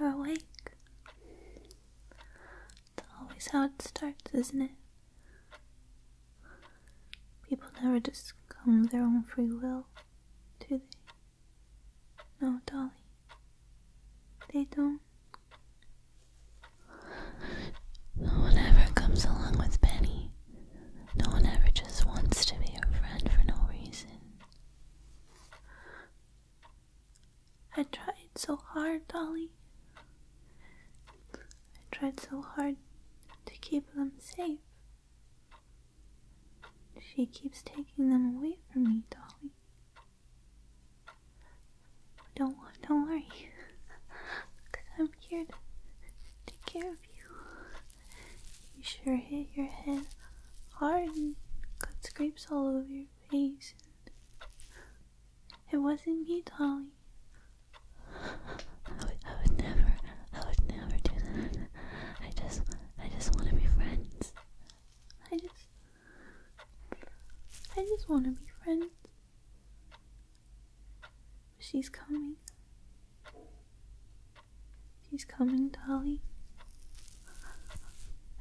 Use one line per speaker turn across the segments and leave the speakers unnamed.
You're awake. It's always how it starts, isn't it? People never just come of their own free will, do they? No, Dolly. They don't. No one ever comes along with Penny. No one ever just wants to be your friend for no reason. I tried so hard, Dolly. I tried so hard to keep them safe. She keeps taking them away from me, Dolly. Don't worry, cause I'm here to take care of you. You sure hit your head hard and got scrapes all over your face. It wasn't me, Dolly. I would, I would never, I would never do that. I just, I just want to be friends. I just, I just want to be friends. She's coming. She's coming, Dolly.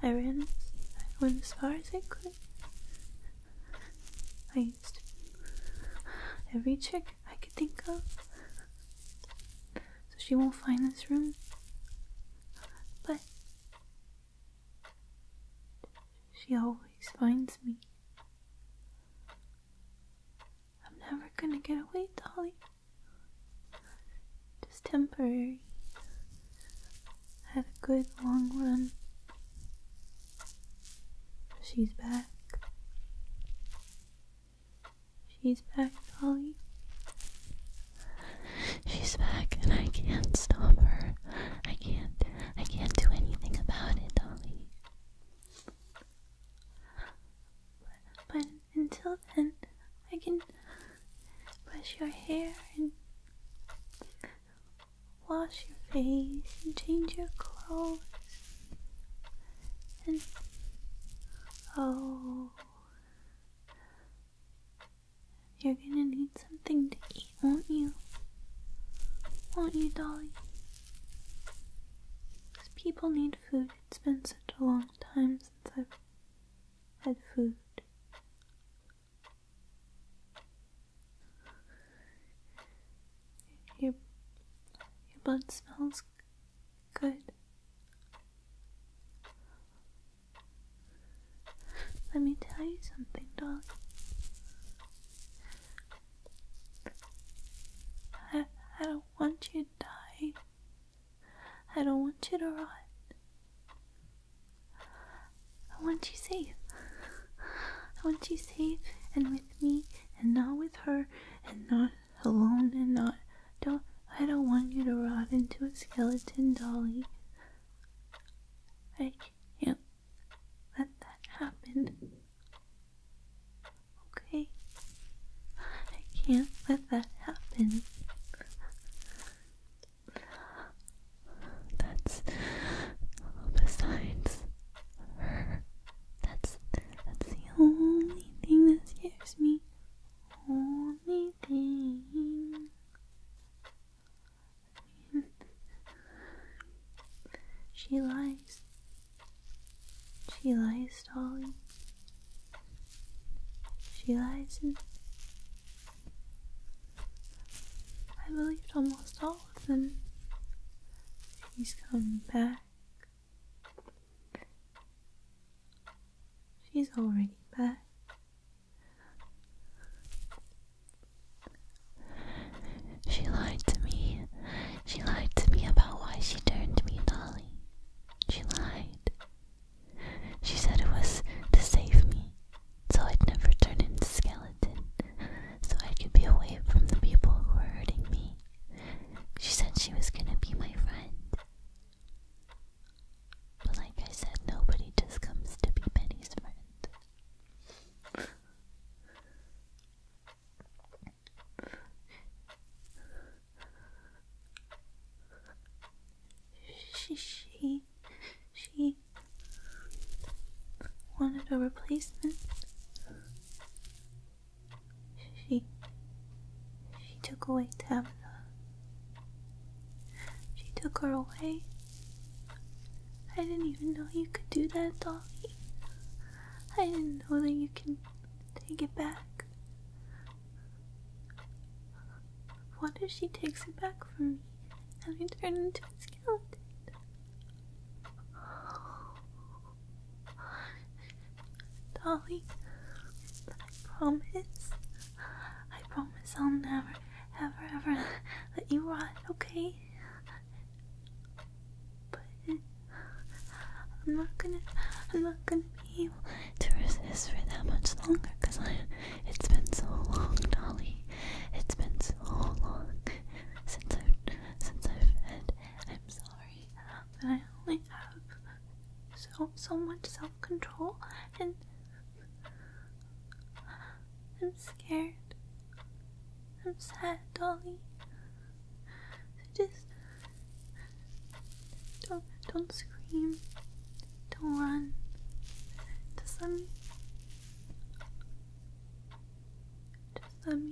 I ran I went as far as I could. I used every trick I could think of. So she won't find this room. But she always finds me. I'm never gonna get away, Dolly. Just temporary. had a good long run. She's back. She's back, Dolly. She's back and I can't stop her. I can't I can't do anything about it, Dolly. But, until then I can brush your hair and wash your face and change your clothes. And oh you're gonna need something to eat, won't you? Won't you, Dolly? people need food. It's been such a long time since I've had food. Your, your blood smells good. Let me tell you something, darling. I, I don't want you to die. I don't want you to rot. I want you safe. I want you safe and with me and not with her and not alone and not do I don't want you to rot into a skeleton dolly. I can't let that happen. Okay? I can't let that happen. That's besides her. That's that's the only thing that scares me. Only thing. she lies. She lies, Dolly. She lies and I believed almost all of them. She's coming back. She's already back. She lied to me. She lied to me about why she turned me dolly. She lied. She said it was to save me, so I'd never turn into skeleton, so I could be away from the people who were hurting me. She said she was gonna be my friend. But like I said, nobody just comes to be Penny's friend. She, she, she wanted a replacement. She, she took away Tabitha. She took her away. I didn't even know you could do that, Dolly. I didn't know that you can take it back. What if she takes it back from me and we turn into a skeleton? Dolly, I promise I promise I'll never, ever, ever let you run, okay? But I'm not gonna, I'm not gonna be able to resist for that much longer because it's been so long, Dolly. It's been so long since I've, since I've fed. I'm sorry, but I only have so, so much self-control and I'm scared. I'm sad, Dolly. So Just don't don't scream. Don't run. Just let me. Just let me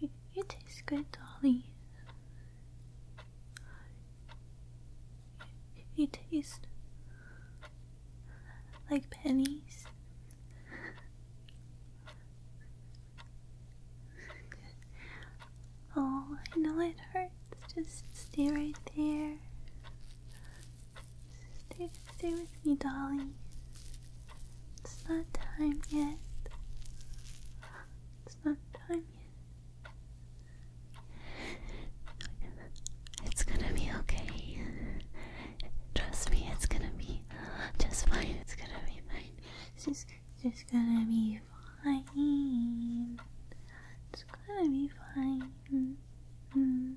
You, you taste good, Dolly. You, you taste like pennies. oh, I know it hurts. Just stay right there. Stay Stay with me, Dolly. It's not time yet. It's not time yet. It's gonna be okay. Trust me, it's gonna be just fine. It's gonna be fine. It's just, just gonna be fine. It's gonna be fine. -hmm.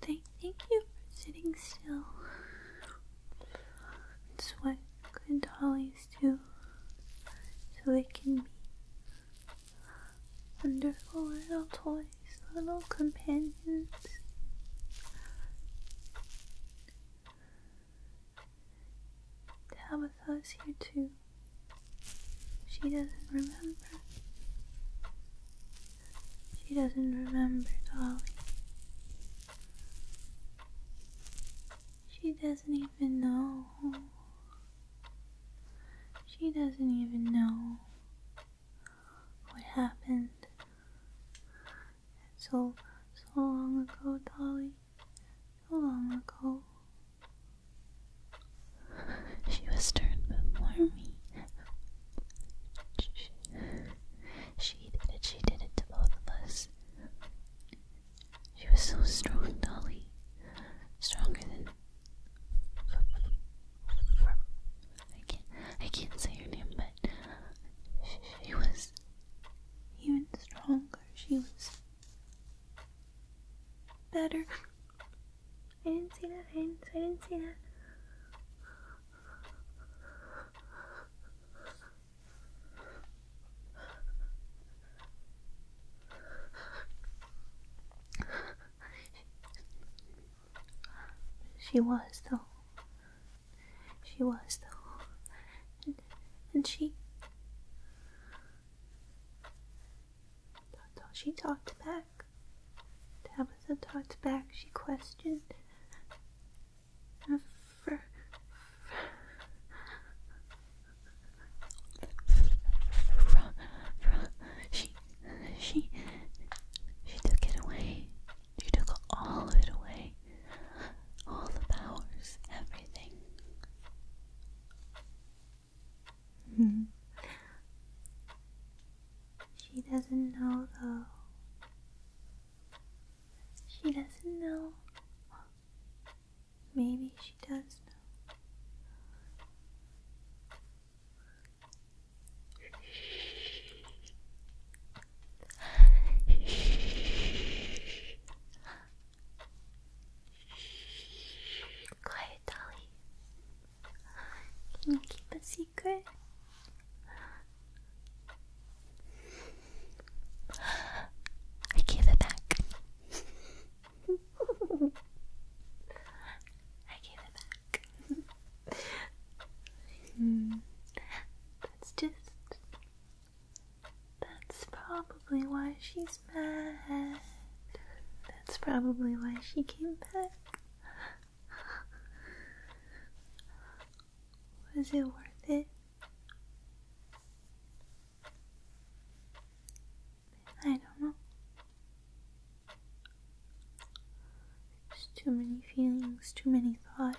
Thank, thank you for sitting still. It's what good dollies do, so it can be wonderful little toys, little companions. Tabitha's here too. She doesn't remember. She doesn't remember Dolly. She doesn't even know. She doesn't even know what happened. It's so, so long ago, Dolly. So long ago. She was stern but warmy. she did it, she did it to both of us. She was so strong, Dolly. Stronger than I can't I can't say her name, but she was even stronger. She was better. I didn't see that. I didn't, I didn't see that. She was, though. She was, though. And, and she. She talked back. Tabitha talked back. She questioned. For, for, she, she she took it away. She took all of it away. All the powers, everything. She doesn't know though. She doesn't know. Maybe she does know. Quiet, Dolly. Can you keep a secret? I gave it back. I gave it back. Hmm. that's just. That's probably why she's mad. That's probably why she came back. Was it worth it? I don't know. There's too many feelings, too many thoughts.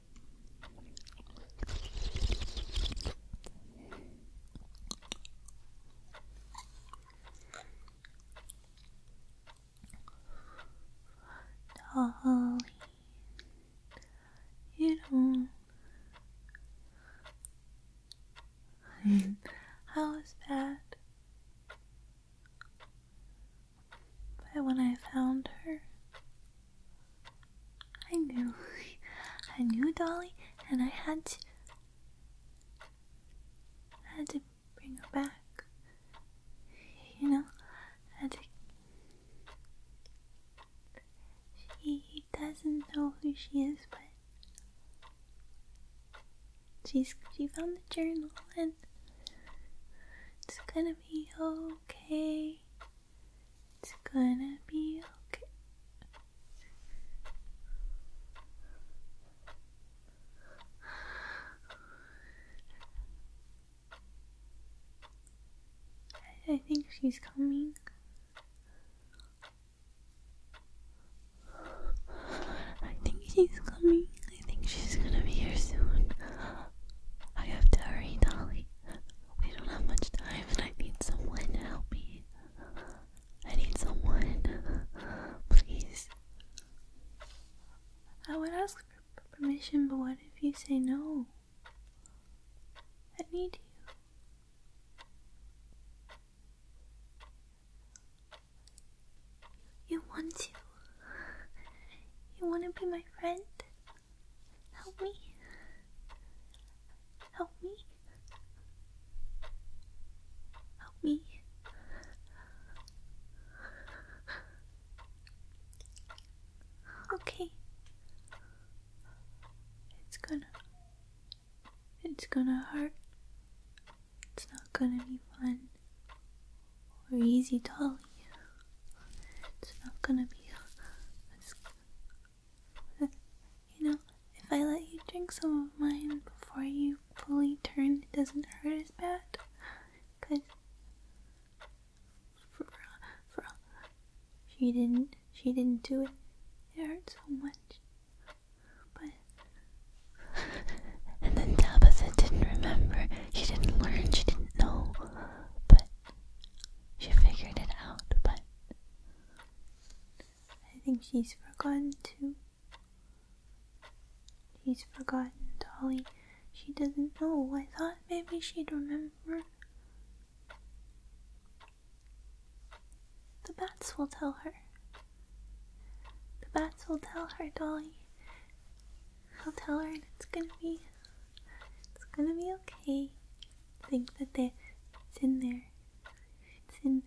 Darling, you know was bad, But when I found her, I knew. I knew, Dolly, and I had to. I had to bring her back. You know, I had to. She doesn't know who she is, but. She's, she found the journal and it's gonna be okay. It's gonna be okay. I think she's coming. I think she's coming. I think she's gonna be here soon. I have to hurry, Dolly. We don't have much time and I need someone to help me. I need someone. Please. I would ask for permission, but what if you say no? I need you. You want to. You want to be my friend? Help me. Help me. Help me. Okay. It's gonna. It's gonna hurt. It's not gonna be fun or easy, to you. It's not gonna be you know, if I let you drink some of mine before you fully turn, it doesn't hurt as bad. Cause she didn't, she didn't do it. It hurt so much. But and then Tabitha didn't remember. She didn't learn. She didn't know. But she figured it out, but I think she's forgotten too. She's forgotten Dolly. She doesn't know. I thought maybe she'd remember. The bats will tell her. The bats will tell her, Dolly. they will tell her, and it's gonna be it's gonna be okay. Think that they, it's in there. It's in,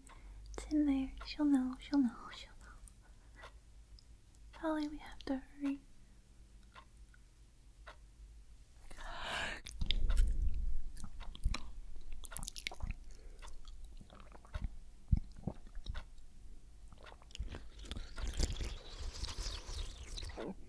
it's in there. She'll know. She'll know. She'll know. Probably we have to hurry.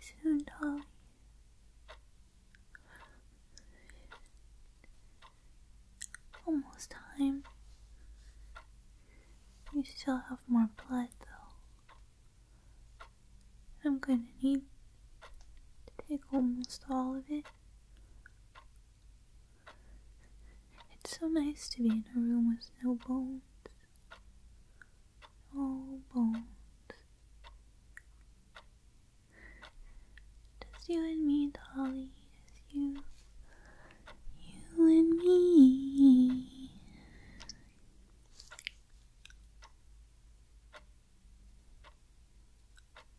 Soon, darling. Almost time. You still have more blood, though. I'm going to need to take almost all of it. It's so nice to be in a room with no bones. Oh, bones. Just you and me, Holly. Just you. You and me.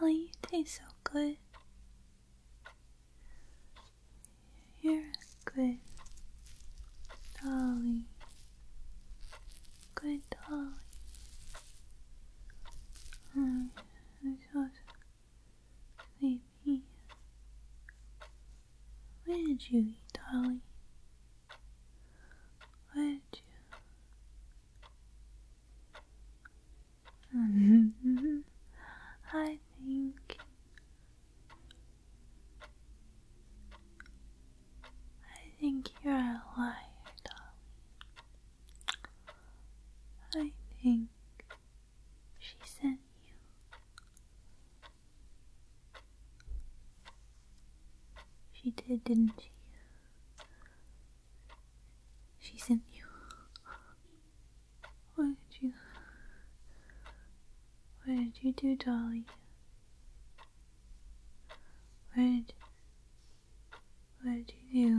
Dolly, oh, you taste so good. You're good dolly. Good dolly. I'm mm, sleepy. Where would you eat, dolly? Would you? Mm-hmm. I think I think you're a liar, darling. I think she sent you she did, didn't she? She sent you. What did you? What did you do, Dolly? What what did you do?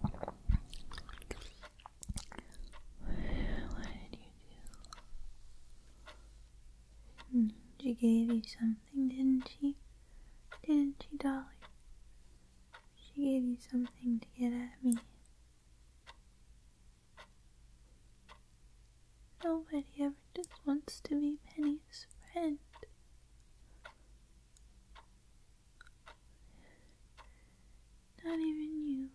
What did you do? Hmm, she gave you something, didn't she? Didn't she, Dolly? She gave you something to get at me. Nobody ever just wants to be Penny's friend. Not even you.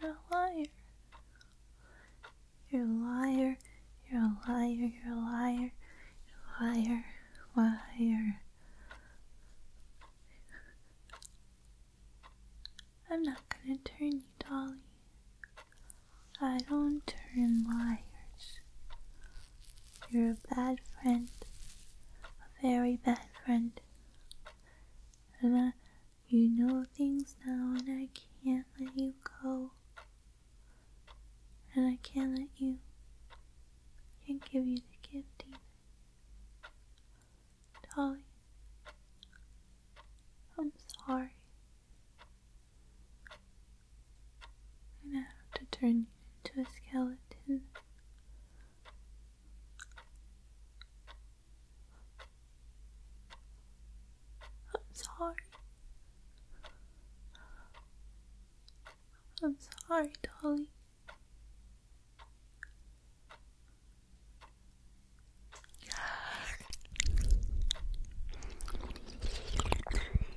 You're a liar. You're a liar. You're a liar. You're a liar. liar. Liar. I'm not gonna turn you, Dolly. I don't turn liars. You're a bad friend, a very bad friend. And I, you know things now, and I can't let you go. And I can't let you. can't give you the gift even. Dolly, I'm sorry. I'm gonna have to turn you into a skeleton. I'm sorry. I'm sorry, Dolly.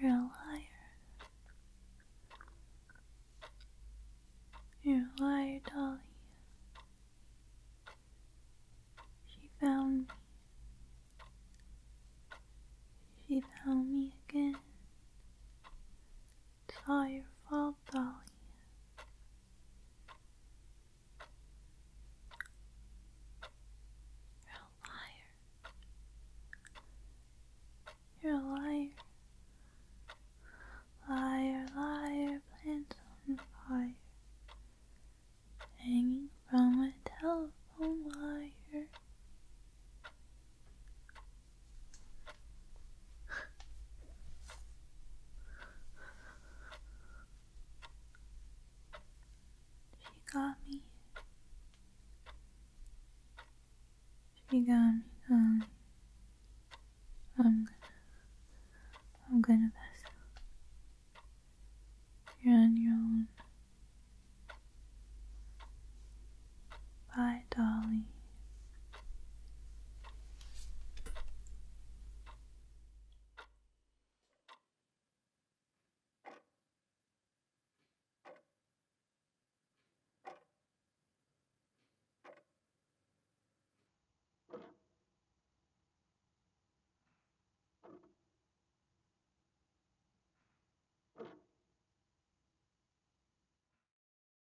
You're a liar. You're a liar, Dolly. She found me. She found me again. Firefall Valley. You're a liar. You're a liar. Liar, liar, plant on fire. Hanging from a telephone wire. She got me. She got me, darling. Um, I'm gonna, I'm gonna pass out. You're on your own. Bye, Dolly.